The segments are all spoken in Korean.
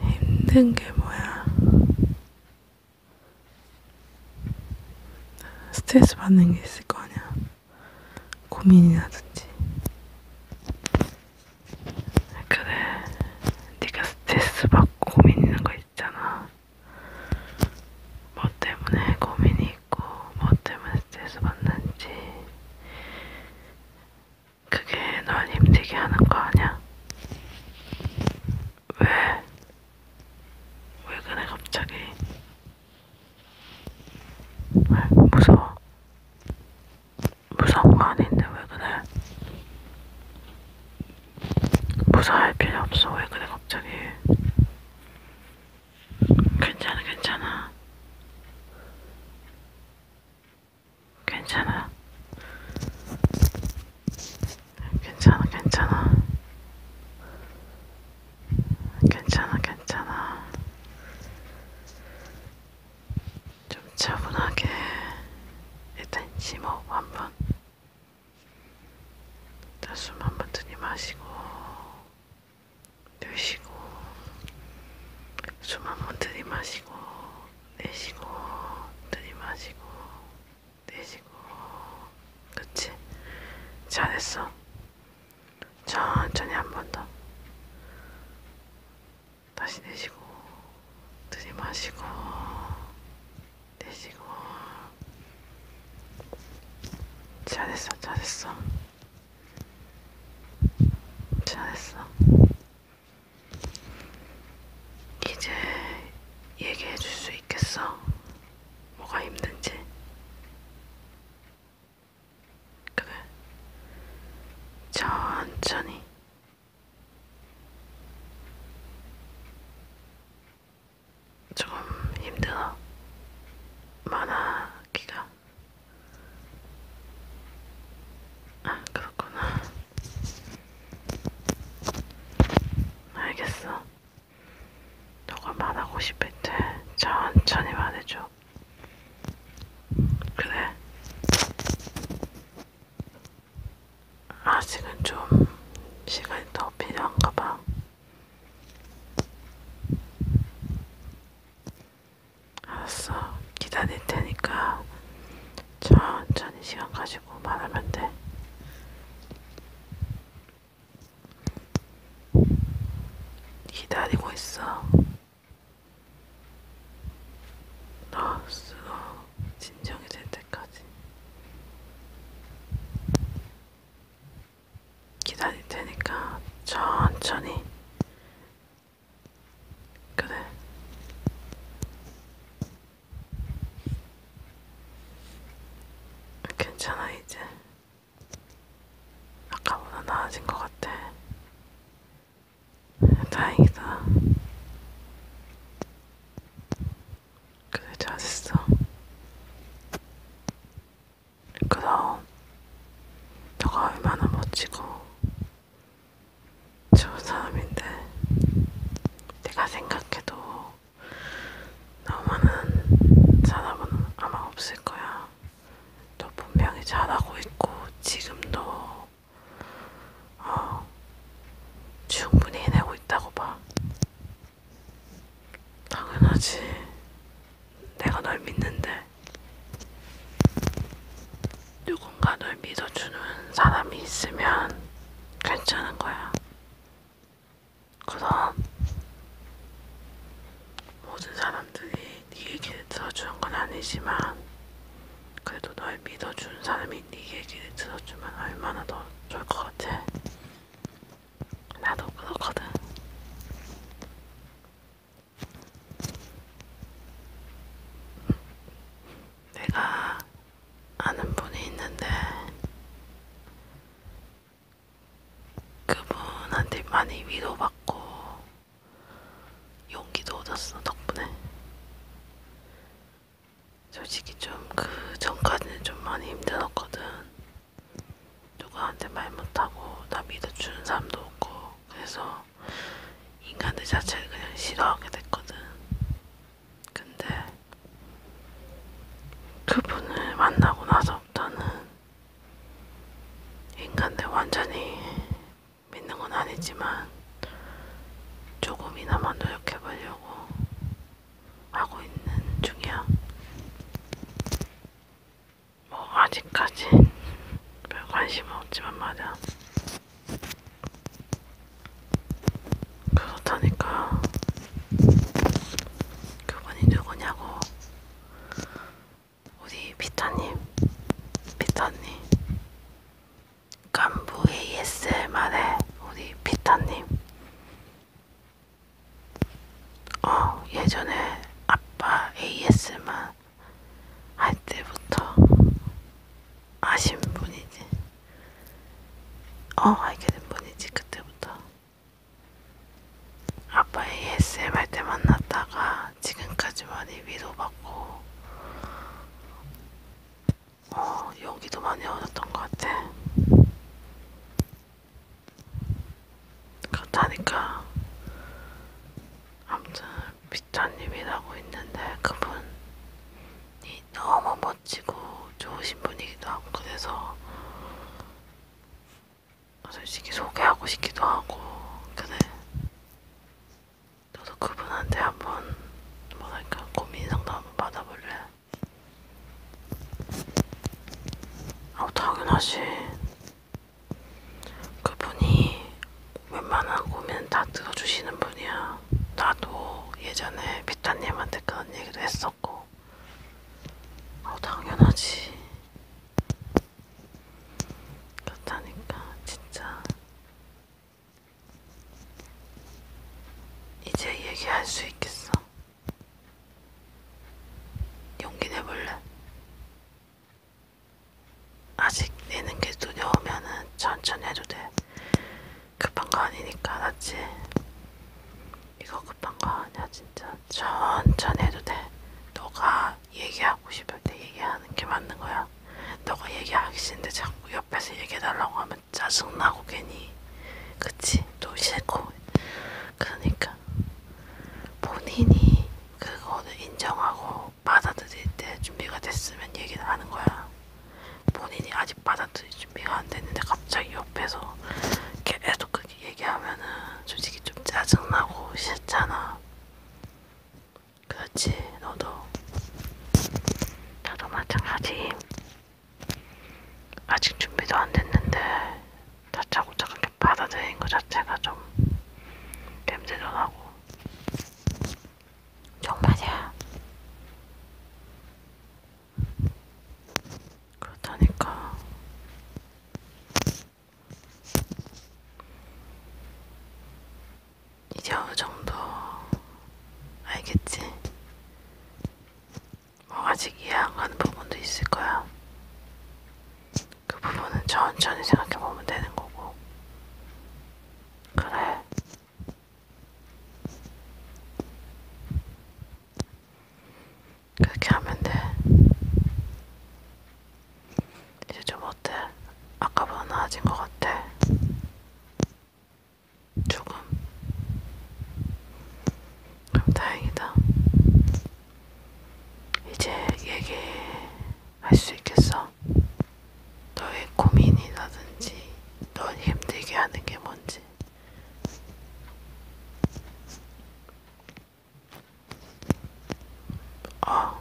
힘든 게 뭐야? 스트레스 받는 게 있을 거 아니야. 고민이라든지. 그래, 네가 스트레스 받고 고민이는 거 있잖아. 뭐 때문에 고민이 있고, 뭐 때문에 스트레스 받는지, 그게 널 힘들게 하는 거 아냐? 왜? 왜 그래 갑자기? 왜 무서워? 무서운 거 아닌데 왜 그래? 무서워할 필요 없어 왜 그래 갑자기? 괜찮아 괜찮아 괜찮아. 괜찮아, 괜찮아. 괜찮아, 괜찮아. 좀 차분하게 일단 심호흡 한번. 일단 숨 한번 들이마시고 드시고 숨 한번 들이마시고 내쉬고 들이마시고 내쉬고 그치? 잘했어 천천히 한 번 더 다시 내쉬고 들이마시고 내쉬고 잘했어 잘했어 잘했어. 이제 얘기해 줄 수 있겠어? 뭐가 힘든지. 그래. 천천히. 조금 힘들어. 많아, 기가. 아, 그렇구나. 알겠어. 너가 말하고 싶을 때 천천히 말해줘. 그래. 아직은 좀 시간이 더 필요한가 봐. 알았어. 기다릴 테니까 천천히 시간 가지고 말하면 돼. 기다리고 있어. 너 쓰고 진정이 될 때까지 기다릴 테니까 천천히 그래. 괜찮아 이제. 아까보다 나아진 것 같아. 다행이다. 그래 잘했어. 그럼 너가 얼마나 멋지고 좋은 사람인데 내가 생각해도 너만한 사람은 아마 없을 거야. 너 분명히 잘하고 있고 지금도 어, 충분히 해내고 있다고 봐. 당연하지. 내가 널 믿는데 누군가 널 믿어주는 사람이 있으면 괜찮은 거야. 그럼 모든 사람들이 네 얘기를 들어주는 건 아니지만 그래도 널 믿어주는 사람이 네 얘기를 들어주면 얼마나 더 좋을 것 같아. 나도 그렇거든. 내가 아는 분이 있는데 그분한테 많이 위로받고 용기도 얻었어 덕분에 솔직히 좀 그 전까지는 좀 많이 힘들었거든. 누구한테 말 못하고 나 믿어주는 사람도 없고 그래서 인간들 자체를 그냥 싫어하게 됐거든. 근데 그분을 만나고 나서부터는 인간들 완전히 믿는 건 아니지만 조금이나마 노력해보려고 하고 있는 중이야. 뭐 아직까지 별 관심은 없지만 말이야. 그렇다니까 그분이 누구냐고 우리 피터님 피터님 간부 ASMR에 우리 피터님 어, 예전에 아빠 AS만 할 때부터 아신 분이지. 어, 알게 된 분이지, 그때부터. 아빠 ASM 할 때 만났다가 지금까지 많이 위로받고, 어, 용기도 많이 얻었던 것 같아. 그렇다니까 아무튼 비타님이라고 있는데 그분이 너무 멋지고 좋으신 분이기도 하고 그래서 솔직히 소개하고 싶기도 하고 그래 너도 그분한테 한번 뭐랄까 고민 상담 한번 받아볼래? 아 당연하지 그분이 웬만한 고민 다 들어주시는 분이야. 나도 예전에 비타님한테 그런 얘기도 했었고, 어, 당연하지. 그렇다니까, 진짜. 이제 얘기할 수 있겠어. 용기 내볼래? 아직 내는 게 두려우면은 천천히 해도 돼. 급한 거 아니니까 알았지? 이거 급한 거 아니야 진짜. 천천히 해도 돼. 너가 얘기하고 싶을 때 얘기하는 게 맞는 거야. 너가 얘기하기 싫은데 자꾸 옆에서 얘기해달라고 하면 짜증나고 괜히 그치? 또 싫고 그러니까 본인이 그거를 인정하고 받아들일 때 준비가 됐으면 얘기를 하는 거야. 본인이 아직 받아들일 준비가 안 됐는데 갑자기 옆에서 계속 그렇게 얘기하면은 솔직히 좀 짜증나고 싫잖아. 그렇지, 너도. 나도 마찬가지. 아직 준비도 안 됐는데 자차고차 그렇게 받아들인 것 자체가 좀 냄새도 나고 정말이야 그렇다니까 이제 어느 정도 알겠지? 아직 이해 안 가는 부분도 있을 거야. 그 부분은 천천히 생각해 보면 되는 거고. 그래. 그렇게 하면 돼. 이제 좀 어때? 아까보다 나아진 것 같아. 조금. 그럼 다행이다. 이제 얘기할 수 있겠어. 너의 고민이라든지, 넌 힘들게 하는 게 뭔지. 어.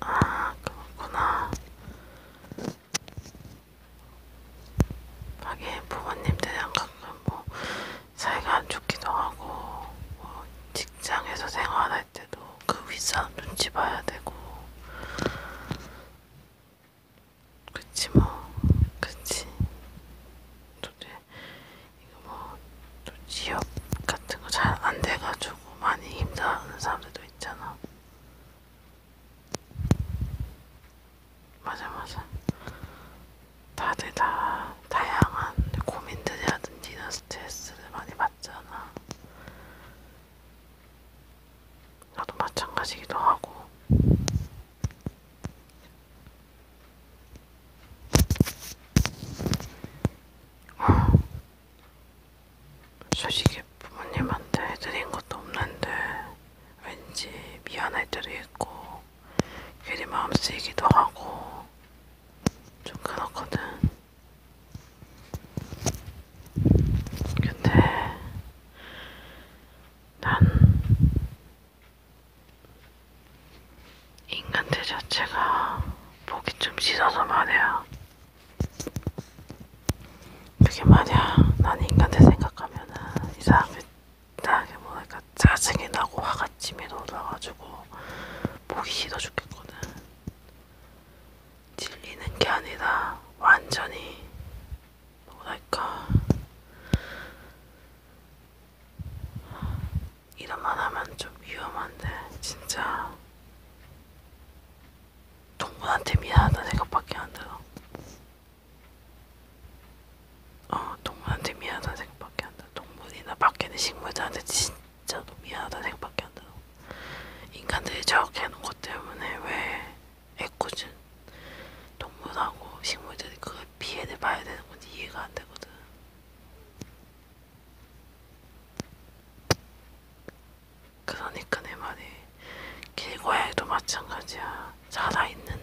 아, 그렇구나. 가게 부모님들이랑 가끔 뭐 사이가 안 좋기도 하고 뭐 직장에서 생활할 때도 그 윗사람 눈치 봐야 되고 그치 뭐 그치 도대 이거 뭐또 취업 같은 거 잘 안 돼가지고 많이 힘들어하는 사람들도 있잖아 맞아 맞아 다들 다 다양한 고민들이라든지나 스트레스를 많이 받잖아 나도 마찬가지기도 하고 어. 솔직히 이렇게 부모님한테 해드린 것도 없는데 왠지 미안할 때도 있고 괜히 마음 쓰이기도 하고 좀 그렇거든. 근데 난 인간들 자체가 보기 좀 싫어서 말이야. 그게 만약 난 인간들 생각하면은 이상하게 이상하게 뭐랄까 그러니까 짜증이 나고 화가 치밀어 올라가지고 보기 싫어 죽겠거든. 질리는 게 아니라 완전히 뭐랄까 이런 말 하면 좀 위험한데 진짜 동물한테 미안하다는 생각밖에 안 들어. 어, 동물한테 미안하다는 생각밖에 안 들어. 동물이나 밖에 있는 식물들한테 진짜로 미안하다는 생각밖에 안 들어. 인간들이 저렇게 해놓은 것 때문에 왜 애꿎은 동물하고 식물들이 그걸 피해를 봐야 되는 건지 이해가 안 되거든. 그러니까 내 말이 길고양이도 마찬가지야. 살아있는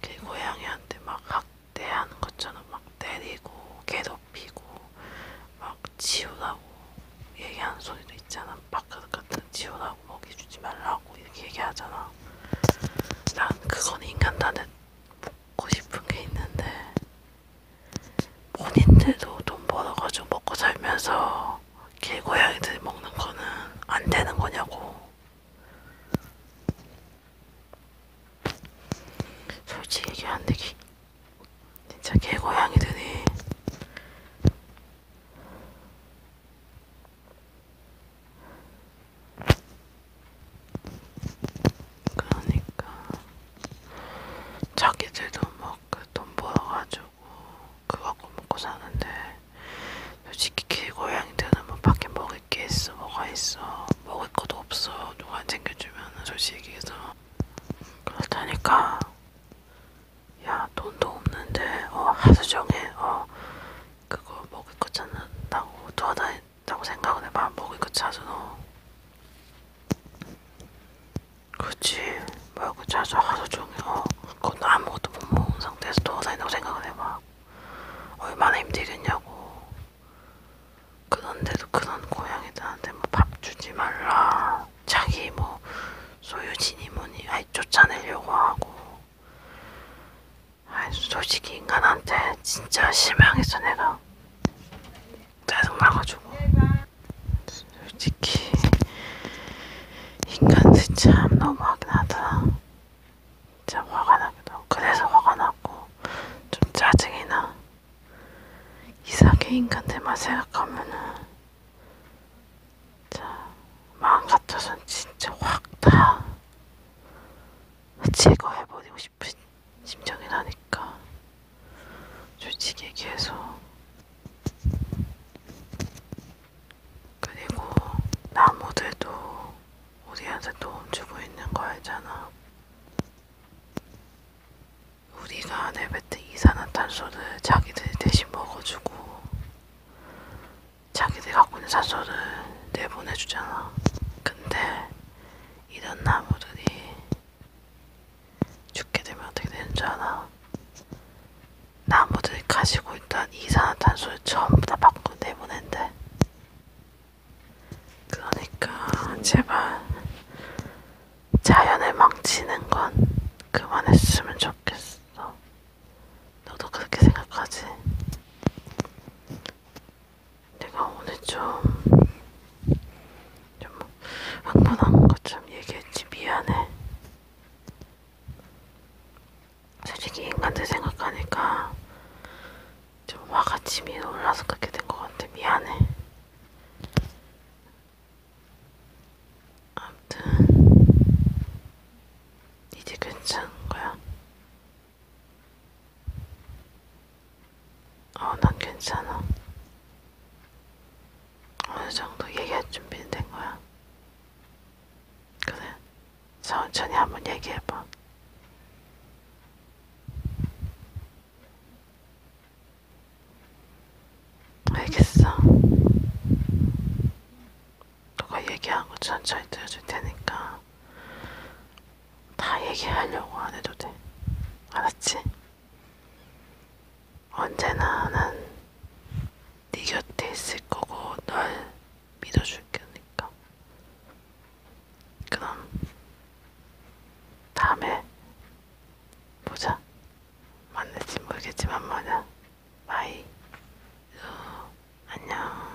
길고양이한테 막 학대하는 것처럼 막 때리고 괴롭히고 막 지우라고 얘기하는 소리도 있잖아. 밥그릇 같은 지우라고 먹이주지 말라고 이렇게 얘기하잖아. 난 그건 인간단에 묻고 싶은 게 있는데 본인들도 돈 벌어가지고 먹고 살면서 개고양이들이 먹는 거는 안 되는 거냐고. 솔직히 얘기하는데 진짜 개고양이들이 그러니까 자기들도 막돈 뭐 그 벌어가지고 그거 먹고 사는데 솔직히 길고양이들은 뭐 밖에 먹을 게 있어 뭐가 있어 먹을 것도 없어 누가 챙겨주면은 솔직히 해서 그렇다니까 야 돈도 없는데 어 하루종일 어 그거 먹을 거 찾는다고 돌아다닌다고 생각을 해봐 먹을 거 찾으러 그치 말고 자주 하루 종일 어 그건 아무것도 못 먹은 상태에서 돌아다닌다고 생각을 해봐 얼마나 힘들겠냐고 그런데도 그런 고양이들한테 뭐 밥 주지 말라 자기 뭐 소유진이 뭐니 아이 쫓아내려고 하고 아이 솔직히 인간한테 진짜 실망했어 내가 짜증나가지고 솔직히 인간들 참 너무하긴 하다 진짜 화가 나기도 하고 그래서 화가 나고 좀 짜증이 나 이상해 인간들만 생각하면은 자 마음 같아선 진짜 확 다 제거해버리고 싶은 심정이 나니까 솔직히 얘기해서 그리고 나무들도 우리한테 도움 주고 있는 거 알잖아. 우리가 내뱉은 이산화탄소를 자기들이 대신 먹어주고 자기들이 갖고 있는 산소를 내보내주잖아. 근데 이런 나무들이 죽게 되면 어떻게 되는지 아나? 나무들이 가지고 있던 이산화탄소를 전부 다 밖으로 내보낸대. 그러니까 제발 자연을 망치는 건 그만했으면 좋겠어. 너도 그렇게 생각하지? 내가 오늘 좀좀 흥분한 것좀 얘기했지 미안해. 솔직히 인간들 생각하니까 좀 화가 치밀 올라서 그렇게 된것 같아. 미안해. 아무튼 이제 괜찮은 거야. 어, 난 괜찮아. 어느 정도 얘기할 준비는 된 거야. 그래, 천천히 한번 얘기해봐. 알겠어. 너가 얘기하고 천천히 들어줄 테니까 다 얘기하려고 안 해도 돼. 알았지? 언제나 난네 곁에 있을 거고 널 믿어줄 거니까. 그럼 다음에 보자. 만날지 모르겠지만 뭐냐. 바이. 어, 안녕.